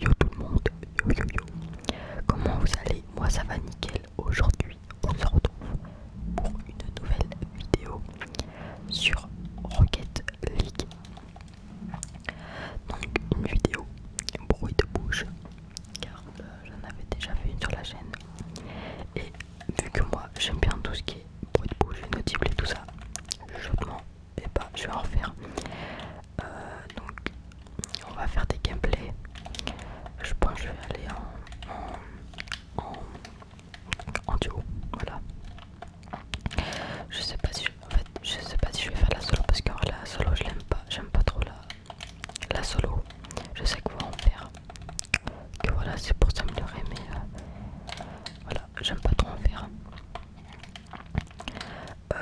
Yo tout le monde, yo yo yo Comment vous allez Moi ça va nickel, aujourd'hui on se retrouve pour une nouvelle vidéo sur Rocket League Donc une vidéo bruit de bouche car euh, j'en avais déjà fait une sur la chaîne et vu que moi j'aime bien tout ce qui est bruit de bouche, notable et tout ça, je demande bah, je vais en faire. Euh, donc on va faire des gameplays je pense que je vais aller en, duo voilà je sais pas si je, sais pas si je vais faire la solo parce que la solo je l'aime pas j'aime pas trop la, la solo je sais qu'on va en faire que voilà c'est pour s'améliorer mais euh, voilà j'aime pas trop en faire euh,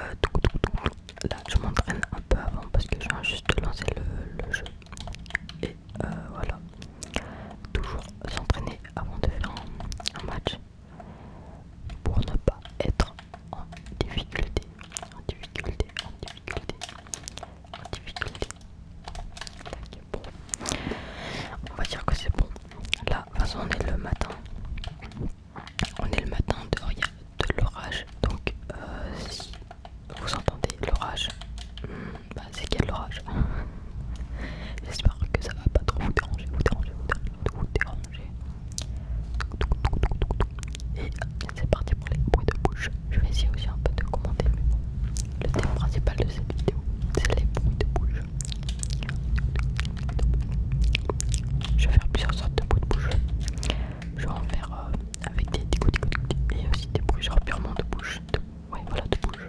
là, je m'entraîne un peu avant parce que je viens juste de lancer le, jeu. Et euh, voilà. Toujours s'entraîner avant de faire un, match pour ne pas être en difficulté. En difficulté, en difficulté, en difficulté. Bon. On va dire que c'est bon. Là, on est le matin. On est le matin de rien, de l'orage. Donc, euh, si vous entendez l'orage, hmm, bah, c'est qu'il y l'orage. J'espère que ça va pas trop vous déranger, Et c'est parti pour les bruits de bouche. Je vais essayer aussi un peu de commenter, mais bon, le thème principal de cette vidéo, c'est les bruits de bouche. Je vais faire plusieurs sortes de bouts bouche. Je vais en faire avec des et aussi des genre purement de bouche. Ouais, voilà, de bouche.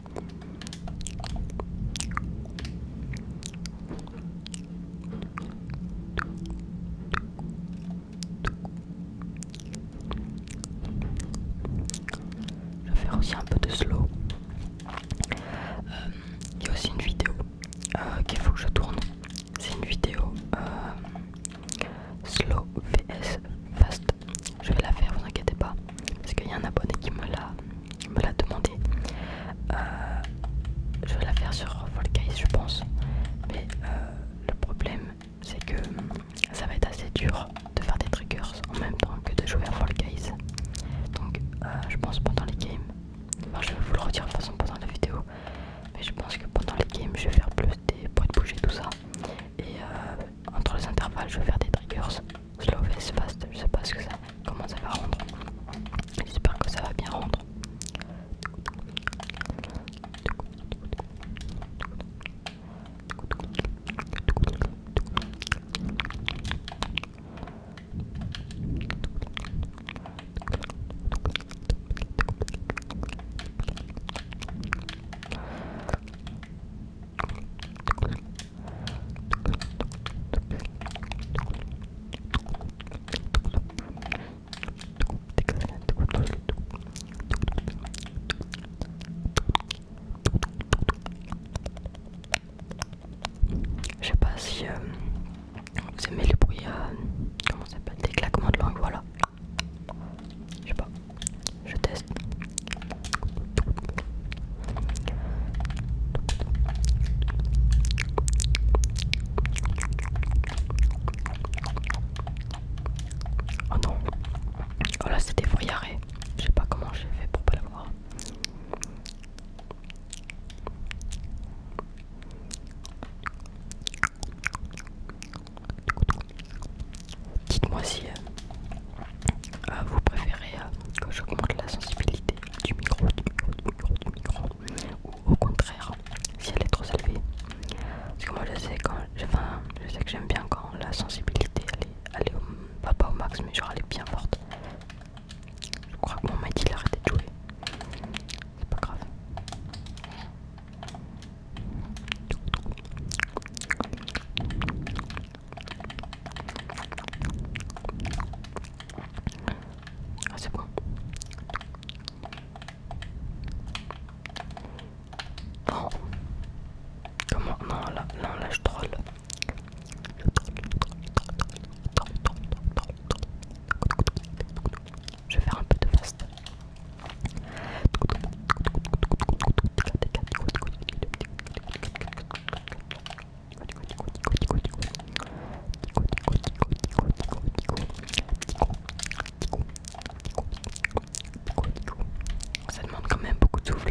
Je vais faire aussi un peu de slow. Euh, il y a aussi une vidéo euh, qu'il faut que je tourne. C'est une vidéo euh, slow vs fast je vais la faire, vous inquiétez pas, parce qu'il y a un abonné qui me l'a demandé. Euh, je vais la faire sur Guys je pense, mais euh, le problème c'est que ça va être assez dur de faire des triggers en même temps que de jouer à Fall Donc, euh, je pense pendant les games, je vais vous le redire de toute façon pendant la vidéo, mais je pense que pendant les games, je vais faire plus des points de bouger, tout ça entre les intervalles, je vais faire des triggers. Slow face fast, je sais pas ce que ça, comment ça va rendre. J'espère que ça va bien rendre. Je sais pas si euh, vous aimez le bruit, euh, comment s'appelle, des claquements de langue, voilà. Je sais pas. Je teste. Oh non. Oh là c'était foyaré. Je sais pas comment j'ai fait pour pas l'avoir dites-moi si euh, euh, vous préférez euh, que j'augmente la sensibilité du micro, du micro, du micro, du micro, ou au contraire, si elle est trop élevée. Parce que moi je sais je sais que j'aime bien quand la sensibilité elle est, au, au max, mais genre elle est bien forte. Je crois que mon mec il a arrêté de jouer. C'est pas grave. Ah, c'est bon. Non. Comment là, non, là, je troll. Je vais faire un peu de fast. Ça demande quand même beaucoup de souffle.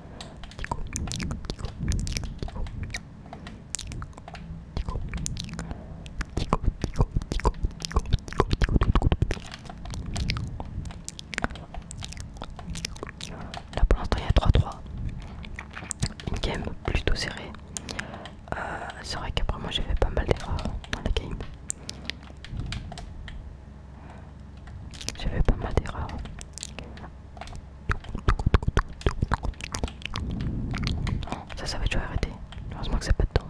Là pour l'instant il y a 3-3. Une game plutôt serrée. Euh, c'est vrai qu'après moi j'ai fait pas mal d'erreurs dans la game. J'avais pas mal d'erreurs. Hein. Ça, ça va toujours arrêter. Heureusement que c'est pas de temps.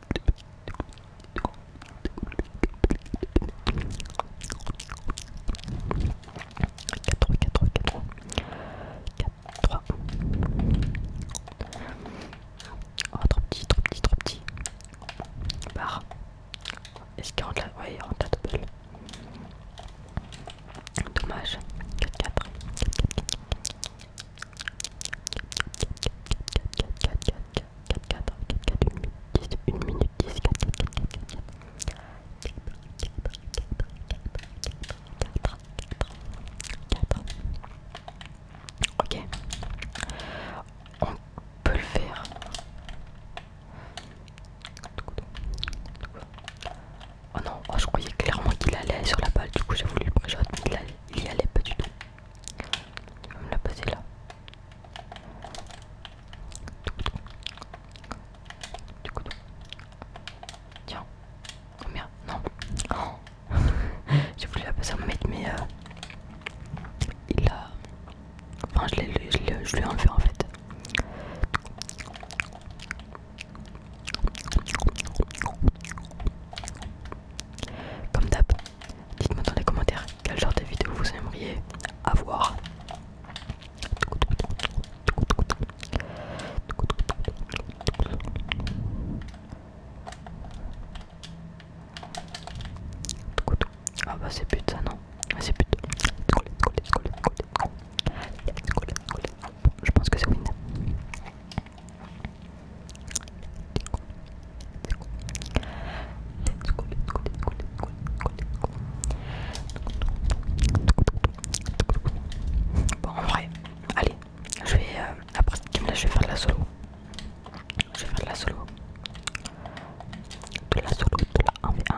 Oh, trop petit, trop petit, trop petit. Est-ce qu'il rentre là Oui, il rentre la Dommage. 4, 4, 4, 4, 4, 4, 4, 1 minute 10, 4, 4, 4, 4, 4, 4. Ok, on peut le faire. Oh non, oh, je croyais clairement qu'il allait sur la balle, du coup j'ai voulu le préjouer, mais il, il allait pas du tout me l'a poser là. Tiens, combien oh, Non. Oh. J'ai voulu la passer en mettre, mais euh, il a. Enfin, je l'ai je l'ai enlevé en fait. Comme d'hab, Dites-moi dans les commentaires quel genre de vidéo vous aimeriez avoir. Ah bah c'est but ça non ah, C'est but. Je pense que c'est win Bon, en vrai, allez, je vais euh, après là, je vais faire de la solo. Je vais faire de la solo. De la solo, de la 1v1. 1v1.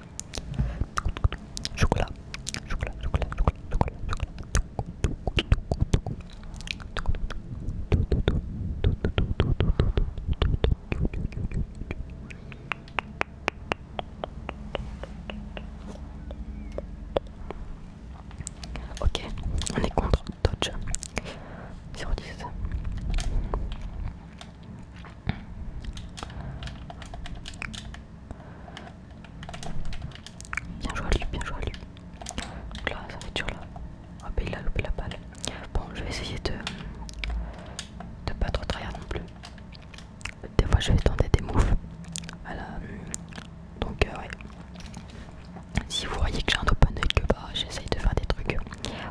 Chocolat, chocolat, chocolat, chocolat, chocolat, Ok, on est contre Dodge. 0 10. Bien joué à lui, bien joué à lui. là, ça va être là. Ah bah il a loupé la balle. Bon, je vais essayer de de pas trop travailler non plus. Des fois, je vais tenter des moves. Voilà. Donc euh, ouais. Si vous voyez que j'ai un open que part, j'essaye de faire des trucs.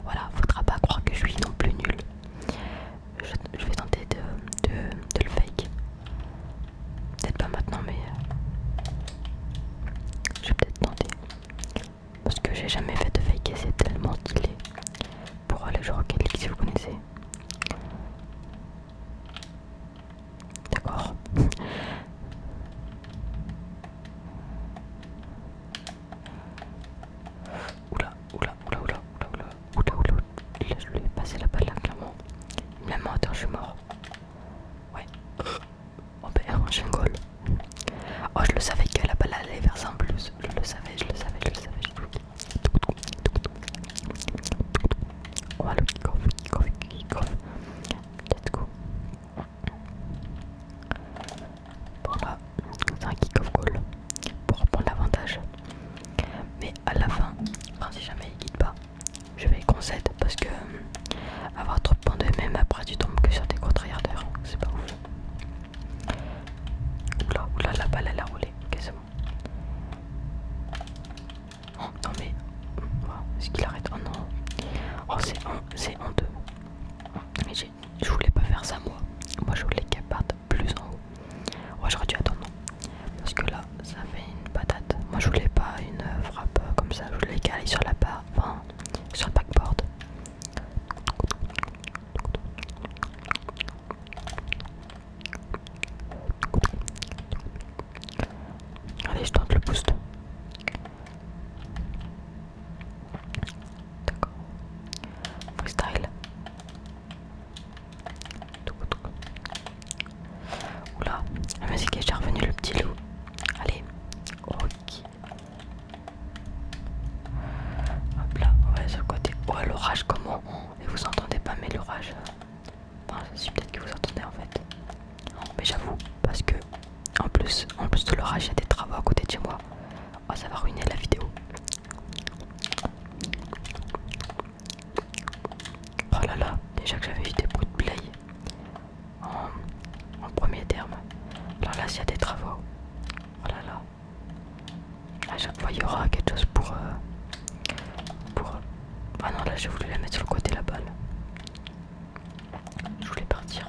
Voilà, faudra pas croire que je suis non plus nul je, vais tenter de, de, le fake. Peut-être pas maintenant, mais euh, je vais peut-être tenter. Parce que j'ai jamais fait de fake et c'est tellement stylé pour aller jouer Rocket League si vous connaissez. D'accord. Oula, oula, oula, oula, oula, oula, oula, oula, oula. oula, je lui ai passé la balle là, clairement. Il me l'a oula, je suis mort. Ouais. Oh, ben, oula, un goal. Oh, je le savais que la balle allait vers en plus. Je le savais, je le savais, je le savais. oula, oula, oula, oula, oula, oula, oula, oula, oula, Let's go ah, c'est un kick-off goal pour reprendre l'avantage. Mais à la fin, si jamais il guide pas, je vais concède parce que euh, avoir trop de points de même après tu tombes que sur tes contre-yardeurs, c'est pas ouf. Oula, oula, la balle elle a roulé, quasiment. Oh, non mais, oh, est-ce qu'il arrête Oh non, oh, c'est en 2. Je voulais pas faire ça moi. Moi je voulais qu'elle parte plus en haut. Moi j'aurais dû attendre. Parce que là ça fait une patate. Moi je voulais pas une frappe comme ça. Je voulais qu'elle aille sur la barre. Enfin sur le backboard. Allez je tente le boost. D'accord. Freestyle. Oula, la musique est déjà le petit loup. Allez, ok. Hop là, ouais, sur le côté. Oh, l'orage, comment Et vous entendez pas, mais l'orage. Enfin, je peut-être que vous entendez en fait. mais j'avoue, parce que en plus, en plus de l'orage, il y a des travaux à côté de chez moi. Oh ça va ruiner la vidéo. Oh là là, déjà que j'avais vu des bruits de play en, premier terme. Alors là s'il y a des travaux. Oh là là. À chaque il y aura quelque chose pour... Euh, pour... Ah non là j'ai voulu la mettre sur le côté la balle. Je voulais partir.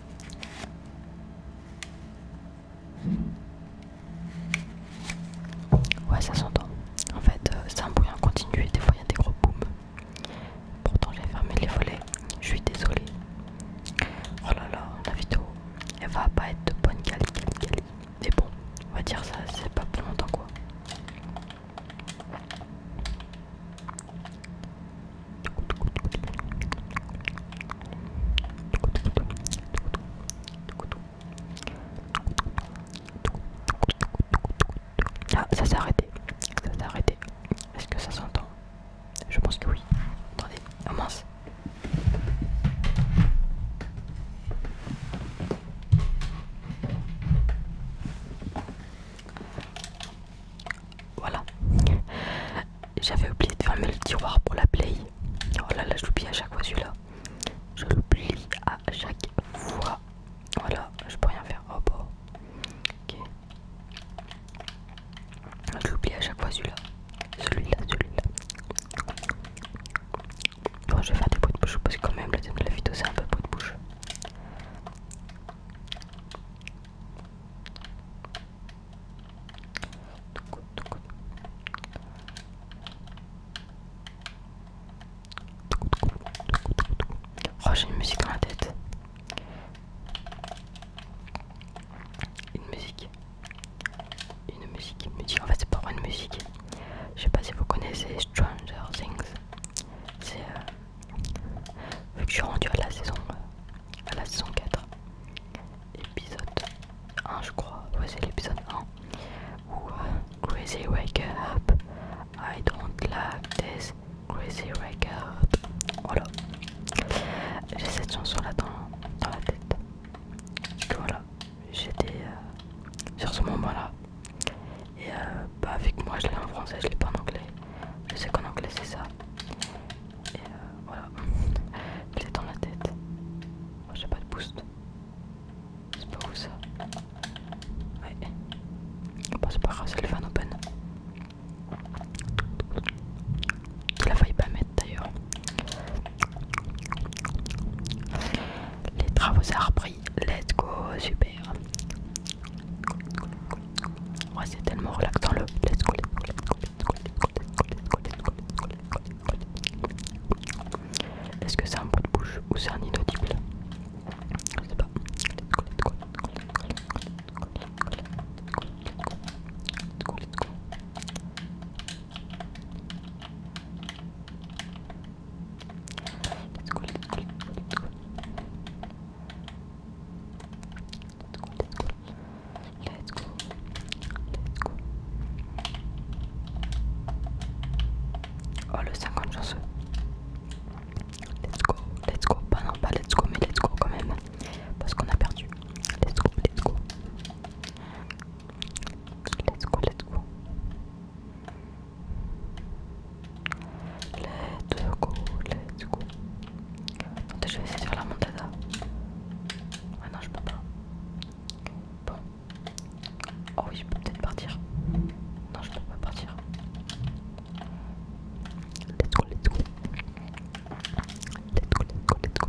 Ouais, ça s'entend. En fait, euh, c'est un bruit en continu et des fois il y a des gros boum. Pourtant, j'ai fermé les volets. Je suis désolé Oh là là, la vidéo, elle va pas être de bonne qualité. Mais bon, on va dire ça, c'est pas pour longtemps quoi. Ah, ça s'est arrêté. Est-ce que ça s'entend Je pense que oui. Oh, voilà. J'avais oublié de fermer le tiroir pour la play. Oh là là, l'oublie à chaque fois celui-là. Je l'oublie à chaque fois. Voilà, je peux rien faire. Oh bon. Bah. Ok. Je l'oublie à chaque fois celui-là. Celui-là, celui-là. Bon, oh, je vais faire des bruits de bouche parce que quand même la vidéo c'est un peu bruit de bouche. Oh, j'ai une musique dans la tête. Une musique. Une musique, En fait, c'est pas une musique. Je sais pas si vous connaissez Stranger Things c'est euh, vu que je suis rendu à la saison euh, la saison 4 épisode 1 je crois ouais c'est l'épisode 1 où euh, crazy wake up I don't like this crazy wake up voilà j'ai cette chanson là dans, la tête voilà j'étais sur ce moment là et euh, bah avec moi je l'ai en français, je l'ai pas en anglais. Je sais qu'en anglais c'est ça. Et euh, voilà, voilà. l'ai dans la tête. Moi oh, J'ai pas de boost. C'est pas où ça Ouais. on c'est pas grave, c'est le fan open. la faille pas mettre d'ailleurs. Les travaux sont repris. Let's go, super. Ouais, c'est tellement relaxant le let's go, Est-ce que c'est un pot de bouche ou c'est un inaudible Je sais pas. let's go. Let's go. Let's go. Oh le 50 chanceux. Let's go. Let's go. pas non, pas let's go, mais let's go quand même. Parce qu'on a perdu. Let's go, let's go. Let's go, let's go. Let's go, let's go. je vais essayer de faire la montada. Ah non, je peux pas. Bon. Oh oui, je peux peut-être partir. Non, je peux pas partir. Let's go, let's go. Let's go, let's go, let's go.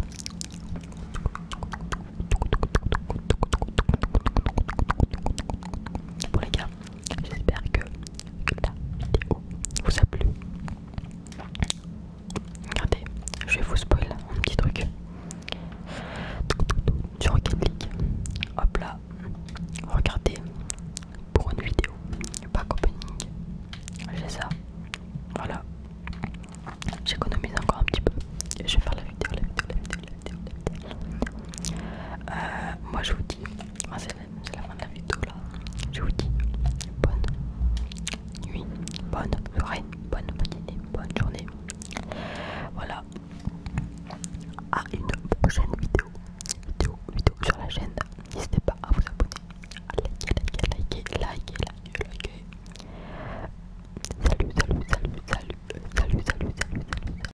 Bon les gars, J'espère que, la vidéo vous a plu. Regardez, je vais vous spoil un petit truc. Du Rocket Hop là. Regardez. Pour une vidéo. Pas opening. J'ai ça. Voilà. J'économise encore un petit peu. Et je vais faire la la vidéo, euh, moi je vous dis, c'est la, fin de la vidéo là, je vous dis bonne nuit, bonne soirée, bonne matinée, bonne journée. Voilà, à une prochaine vidéo, vidéo, vidéo sur la chaîne. N'hésitez pas à vous abonner, à liker, liker, liker, liker, liker, salut, salut, salut, salut, salut, salut, salut. salut.